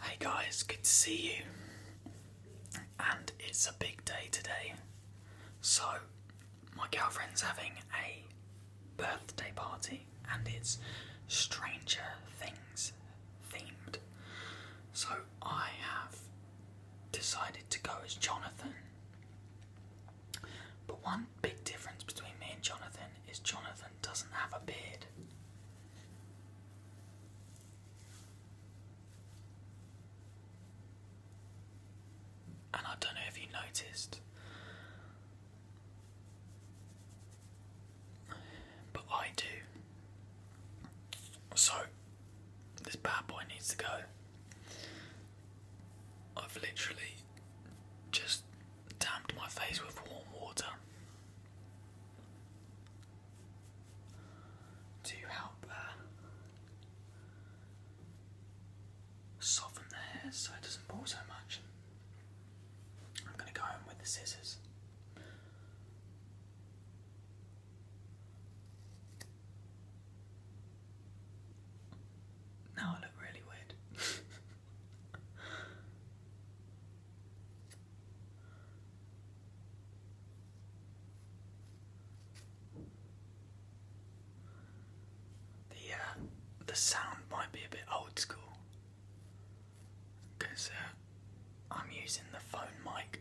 Hey guys, good to see you. And it's a big day today. So, my girlfriend's having a birthday party and it's Stranger Things themed. So, I have decided to go as Jonathan. But one big difference between me and Jonathan is Jonathan doesn't have a beard. And I don't know if you noticed, but I do. So, this bad boy needs to go. I've literally just damped my face with warm water to help uh, soften the hair so it doesn't pull so much. I'm going to go in with the scissors. Now I look really weird. The uh, the sound might be a bit old school because uh, I'm using the phone mic.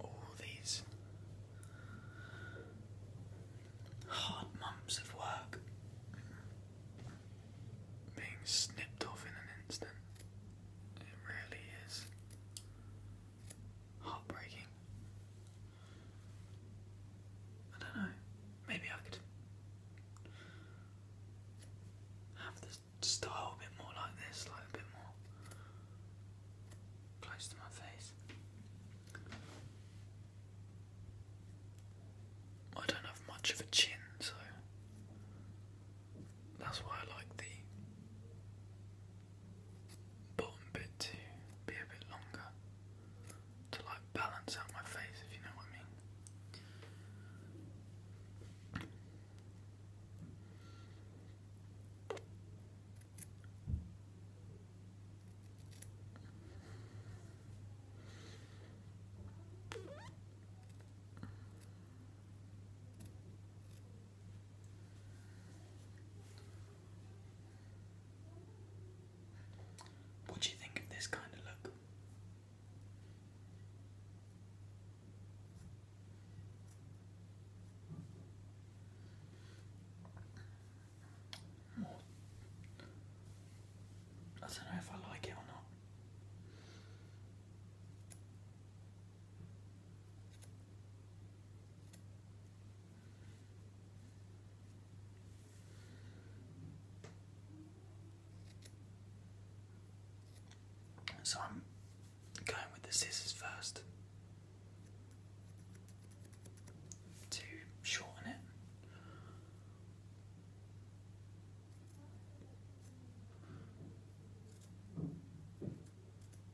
All these hard months of work being snipped off in an instant. It really is heartbreaking. I don't know. Maybe I could have the style a bit more like this, like a bit more close to my face. I don't have much of a chin, so that's why I like the bottom bit to be a bit longer to like balance out my face, if you know what I mean. What do you think of this kind of look? I don't know if I like it or not. So I'm going with the scissors first to shorten it.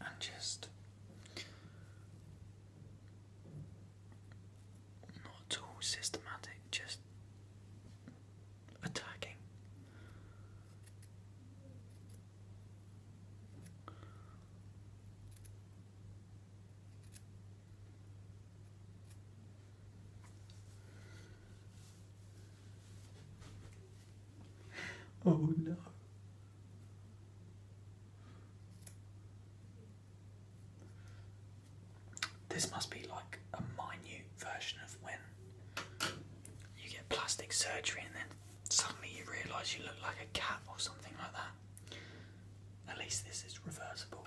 and just not all systematic, just attacking. Oh no. This must be like a minute version of when you get plastic surgery and then suddenly you realise you look like a cat or something like that. At least this is reversible.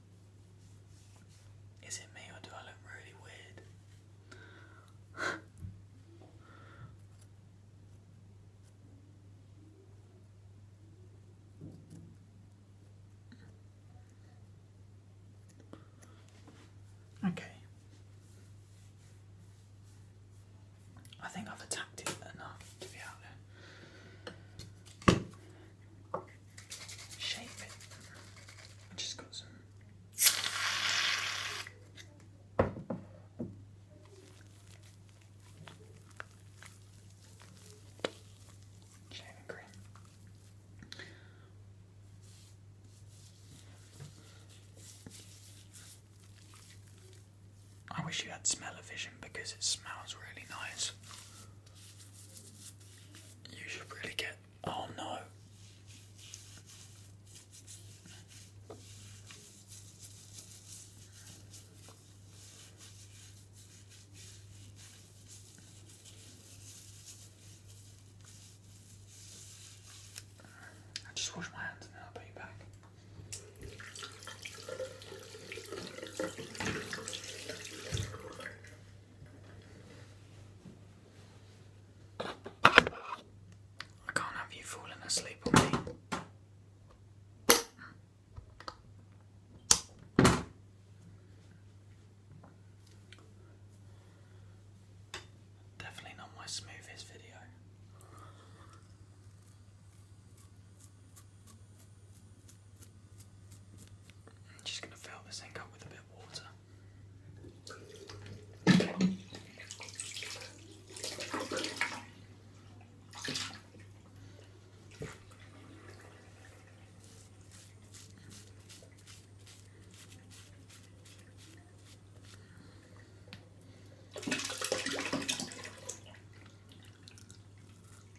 Is it me or do I look really weird? Okay. I think I've attacked it enough to be out there shape just got some. Shaving I wish you had smell of vision because it smells really nice. You should really get. Oh no. I just wash my hands and I'll be back. I can't have you falling asleep on me. Definitely not my smoothest video. I'm just going to fill this ink up with a bit of water.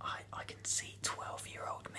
I I can see 12 year old me.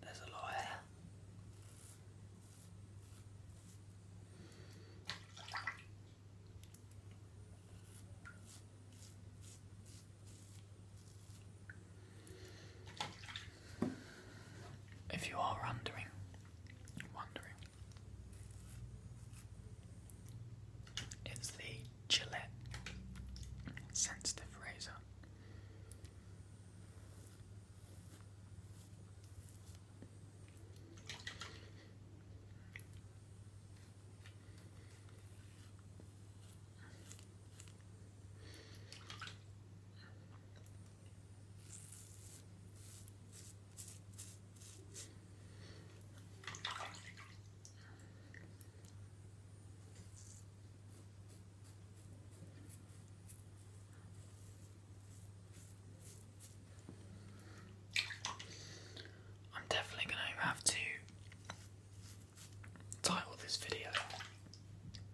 There's a lot here. If you are wondering, wondering, it's the Gillette Sensitive Razor. I'm definitely going to have to title this video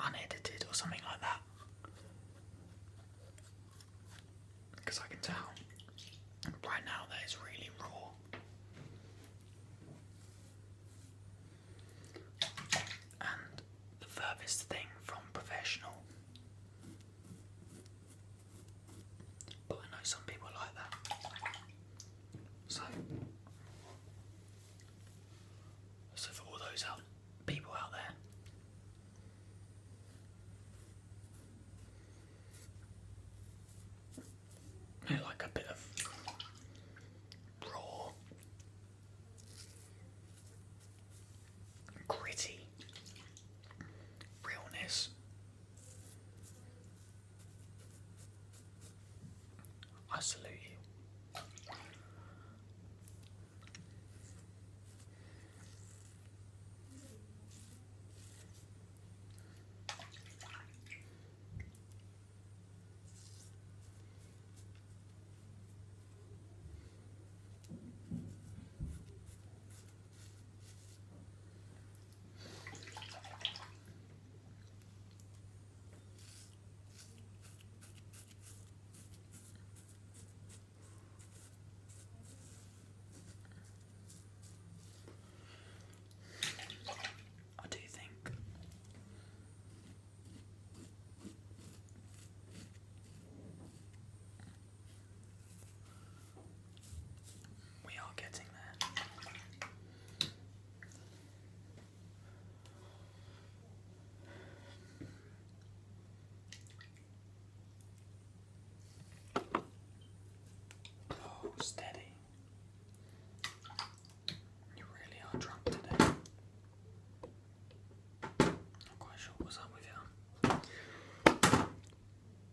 unedited or something like that because I can tell right now that it's really raw. And the furthest thing from professional. But I know some people like that. So, so for all those out people out there who like a bit of raw gritty realness I salute you. I do think we are getting there. Oh, steady. You really are drunk today. Not quite sure what's up with you.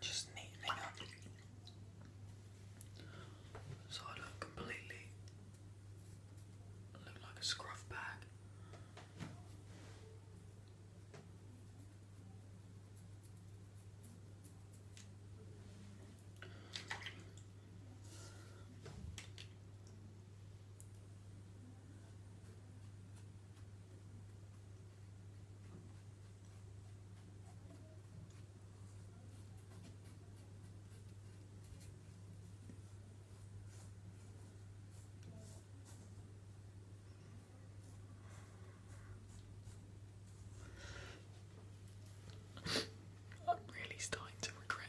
Just neatening up so I do completely look like a scruff bag. I'm really starting to regret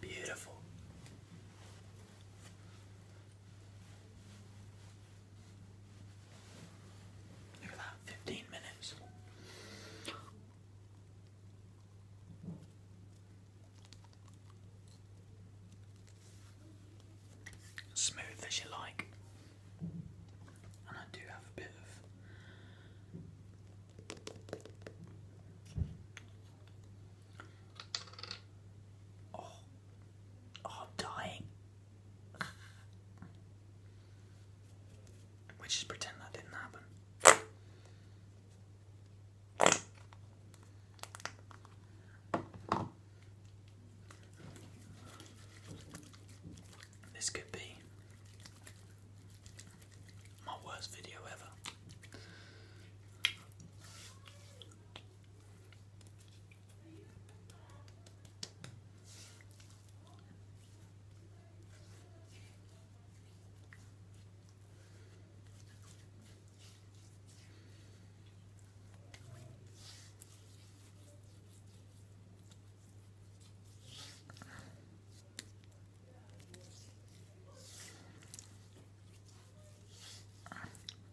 Beautiful. You're about 15 minutes. Smooth as you like. I am oh, oh, dying. We just pretend that didn't happen. This could be my worst video ever.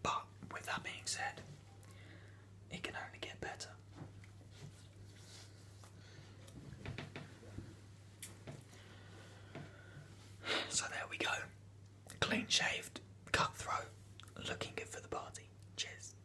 But with that being said, it can only get better. So there we go. Clean shaved, cutthroat, looking good for the party. Cheers.